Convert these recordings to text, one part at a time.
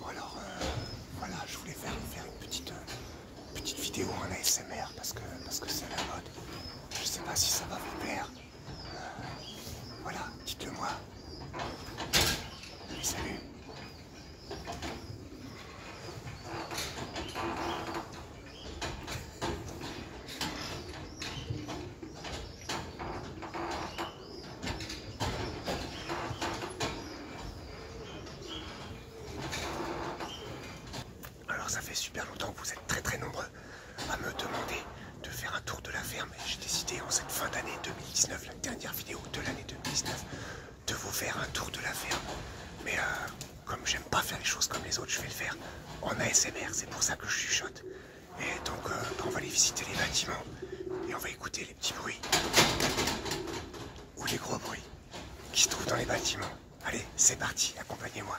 Bon alors, euh, voilà, je voulais faire, une petite, euh, petite vidéo en ASMR parce que parce que c'est la mode. Je sais pas si ça va vous plaire. Euh, voilà, dites-le moi. salut alors ça fait super longtemps que vous êtes très très nombreux à me demander de faire un tour de la ferme et j'ai décidé en cette fin d'année 2019, la dernière vidéo de l'année 2019, de vous faire un tour de la ferme. Mais euh, comme j'aime pas faire les choses comme les autres, je vais le faire en ASMR, c'est pour ça que je chuchote. Et donc euh, bah, on va aller visiter les bâtiments et on va écouter les petits bruits ou les gros bruits qui se trouvent dans les bâtiments. Allez, c'est parti, accompagnez-moi.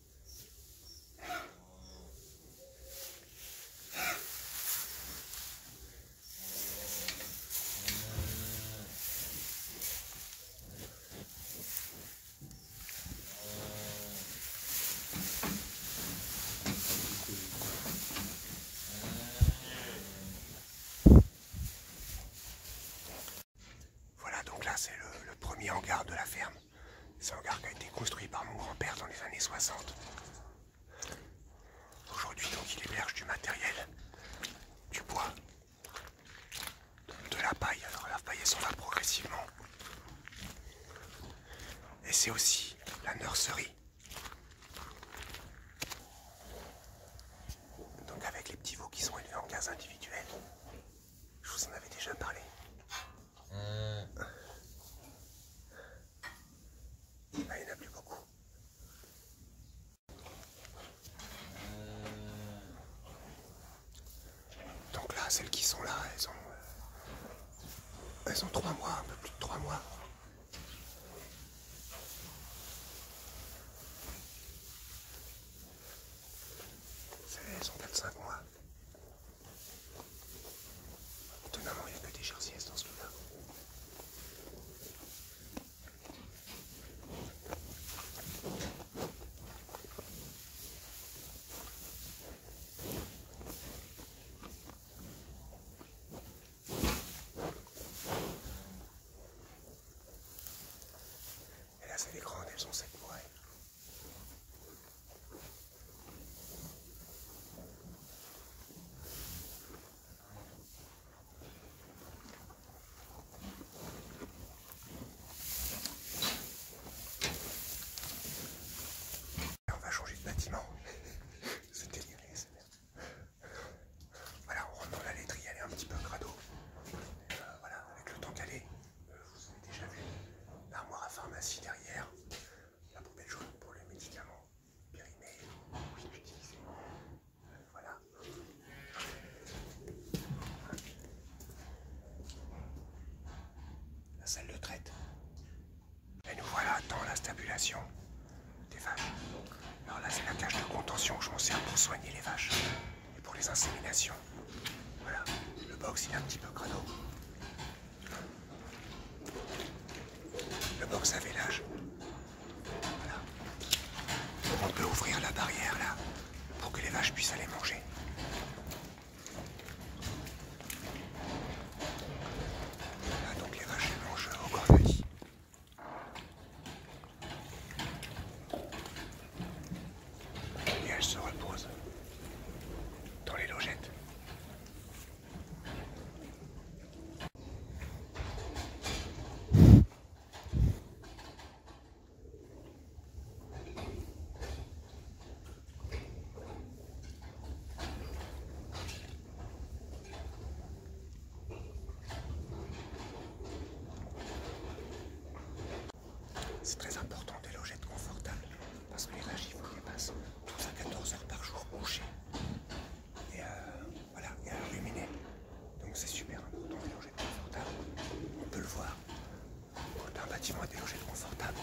Voilà, donc là c'est le, premier hangar de la ferme. C'est un hangar qui a été construit par mon grand-père dans les années 60. Aujourd'hui, donc, il héberge du matériel, du bois, de la paille. Alors, la paille, s'en va progressivement. Et c'est aussi la nurserie. Donc, avec les petits veaux qui sont élevés en gaz individuel. Je vous en avais déjà parlé. Mm. Ah, il n'y en a plus beaucoup. Mm. Donc là, celles qui sont là, elles ont... Euh, elles ont trois mois, un peu plus de trois mois. Elles ont 4-5 mois. Étonnamment, il n'y a que des jarciès dans ce cas. là Et là, c'est les grandes, elles ont cette moelle. On va changer de bâtiment. C'était déliré, c'est bien. Voilà, on rentre dans la laiterie, elle est un petit peu en Et euh, voilà, avec le temps qu'elle euh, vous avez déjà vu l'armoire à pharmacie derrière la poubelle jaune pour les médicaments périmés, oui, voilà. La salle de traite. Et nous voilà dans la stabulation des vaches. Alors là, c'est la cage de contention que je m'en sers pour soigner les vaches et pour les inséminations. Voilà, le box il est un petit peu crado. Le box avait l'âge. On peut ouvrir la barrière là, pour que les vaches puissent aller manger. donc les vaches mangent au vie. Et elles se reposent dans les logettes. C'est très important de de confortable. Parce que les vaches, il faut qu'elles passent 12 à 14 heures par jour couchées. Et euh, voilà, et à ruminer. Donc c'est super, important hein, les logettes confortables. On peut le voir. Quand un bâtiment des logettes confortables,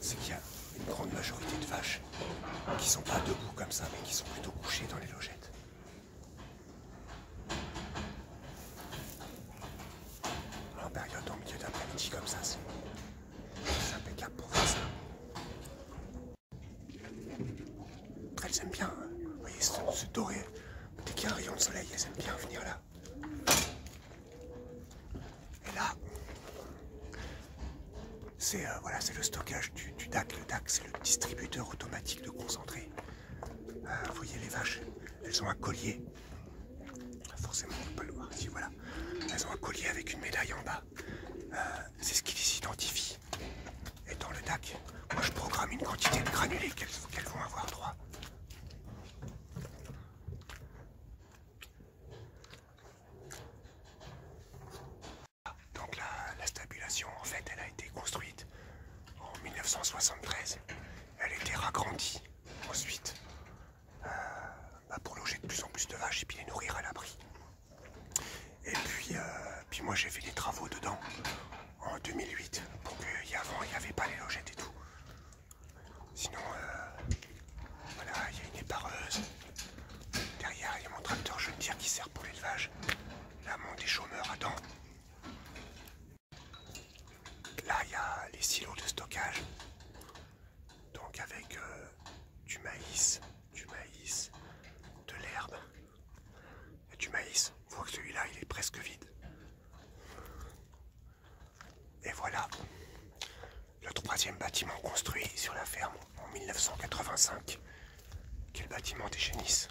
c'est qu'il y a une grande majorité de vaches qui sont pas debout comme ça, mais qui sont plutôt couchées dans les logettes. En période en milieu d'après-midi comme ça, c'est c'est impeccable pour faire ça. elles aiment bien. Hein. Vous voyez, ce doré. Dès qu'il y a un rayon de soleil, elles aiment bien venir là. Et là, c'est euh, le stockage du, DAC. Le DAC, c'est le distributeur automatique de concentré. Euh, vous voyez les vaches, elles ont un collier. Forcément, on ne peut pas le voir ici, voilà. Elles ont un collier avec une médaille en bas. Euh, c'est ce qui les identifie. Et dans le DAC, moi je programme une quantité de granulés qu'elles vont avoir droit. Donc la, stabulation, en fait, elle a été construite en 1973. Elle a été ragrandie ensuite pour loger de plus en plus de vaches et puis les nourrir à l'abri. Et puis, euh, puis moi j'ai fait des travaux dedans en 2008 pour qu'avant il n'y avait pas les logettes et tout. Sinon, euh, voilà, il y a une épareuse. Derrière, il y a mon tracteur jeune qui sert pour l'élevage. Là, mon déchômeur à dents. Là, il y a les silos de stockage donc avec euh, du maïs, du maïs, de l'herbe et du maïs. On voit que celui-là il est presque vide. Et voilà le troisième bâtiment construit sur la ferme en 1985, qui est le bâtiment des Génisses.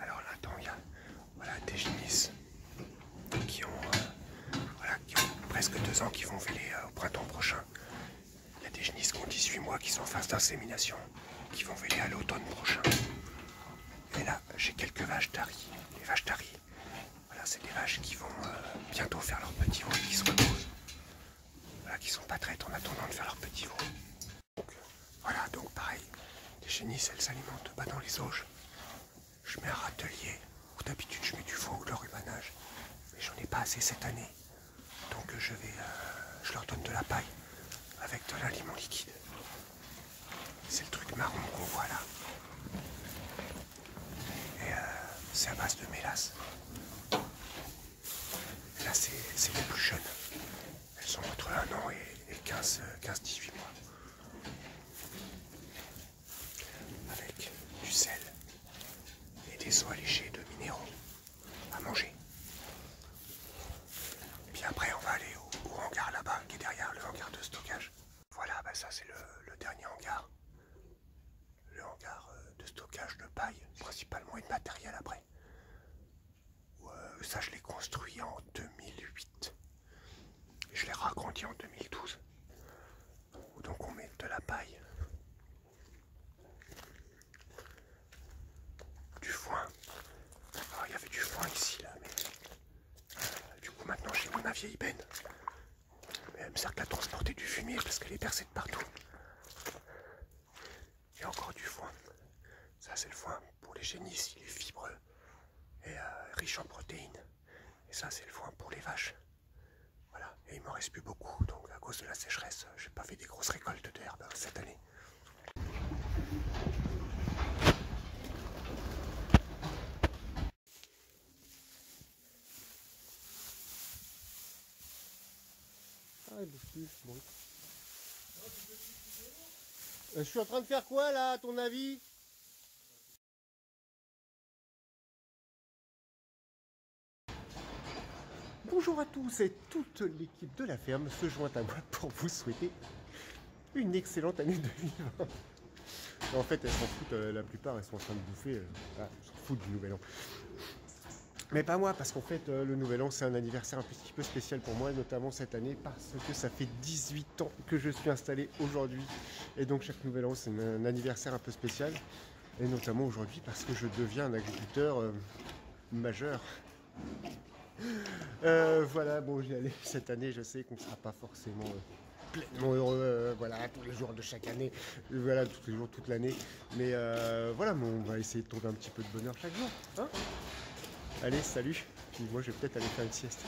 Alors là-dedans, il y a voilà, des génisses qui ont, euh, presque deux ans qui vont véler euh, au printemps prochain. Il y a des génisses qui ont 18 mois qui sont en phase d'insémination, qui vont veiller à l'automne prochain. Et là, j'ai quelques vaches d'Ari. Les vaches d'Ari, voilà, c'est des vaches qui vont euh, bientôt faire leurs petits veaux et qui se reposent. Voilà, qui sont pas traites en attendant de faire leurs petits veaux. voilà, donc pareil, les génisses, elles s'alimentent pas dans les auges. Je mets un râtelier, où d'habitude je mets du foin ou de rubanage. mais j'en ai pas assez cette année. Donc je vais, euh, je leur donne de la paille avec de l'aliment liquide. C'est le truc marron qu'on voit là. Et euh, c'est à base de mélasse. Là, c'est les plus jeunes. Elles sont entre un an et, et 15-18 mois. Avec du sel et des eaux allégées de minéraux à manger. Et puis après, on va aller au, hangar là-bas, qui est derrière le hangar de stockage. Voilà, bah, ça c'est le, dernier hangar. Le hangar euh, de stockage de paille, principalement et de matériel après. Euh, ça, je l'ai construit en 2008. je l'ai ragrandi en 2012. Donc on met de la paille du foin. Ah, il y avait du foin ici, là, mais euh, du coup, maintenant j'ai mon vieille mais Elle me sert qu'à transporter du fumier parce qu'elle est percée de partout. et encore du foin. Ça, c'est le foin pour les génisses, il est fibreux et euh, riche en protéines. Et ça, c'est le foin pour les vaches. Voilà, et il m'en reste plus beaucoup, donc à cause de la sécheresse, j'ai pas fait des grosses récoltes d'herbe euh, cette année. Ah, euh, Je suis en train de faire quoi là, à ton avis Bonjour à tous et toutes les de la ferme se joint à moi pour vous souhaiter une excellente année de 2020. En fait, elles s'en foutent, euh, la plupart, elles sont en train de bouffer. elles euh, ah, s'en foutent du nouvel an. Mais pas moi, parce qu'en fait, euh, le nouvel an, c'est un anniversaire un petit peu spécial pour moi, notamment cette année, parce que ça fait 18 ans que je suis installé aujourd'hui. Et donc, chaque nouvel an, c'est un anniversaire un peu spécial. Et notamment aujourd'hui, parce que je deviens un agriculteur majeur. Euh, voilà, bon, j'y cette année. Je sais qu'on ne sera pas forcément euh, pleinement heureux, euh, voilà, tous les jours de chaque année, voilà, tous les jours, toute l'année. Mais voilà, on va essayer de trouver un petit peu de bonheur chaque jour. Hein. Allez, salut. Puis moi, je vais peut-être aller faire une sieste.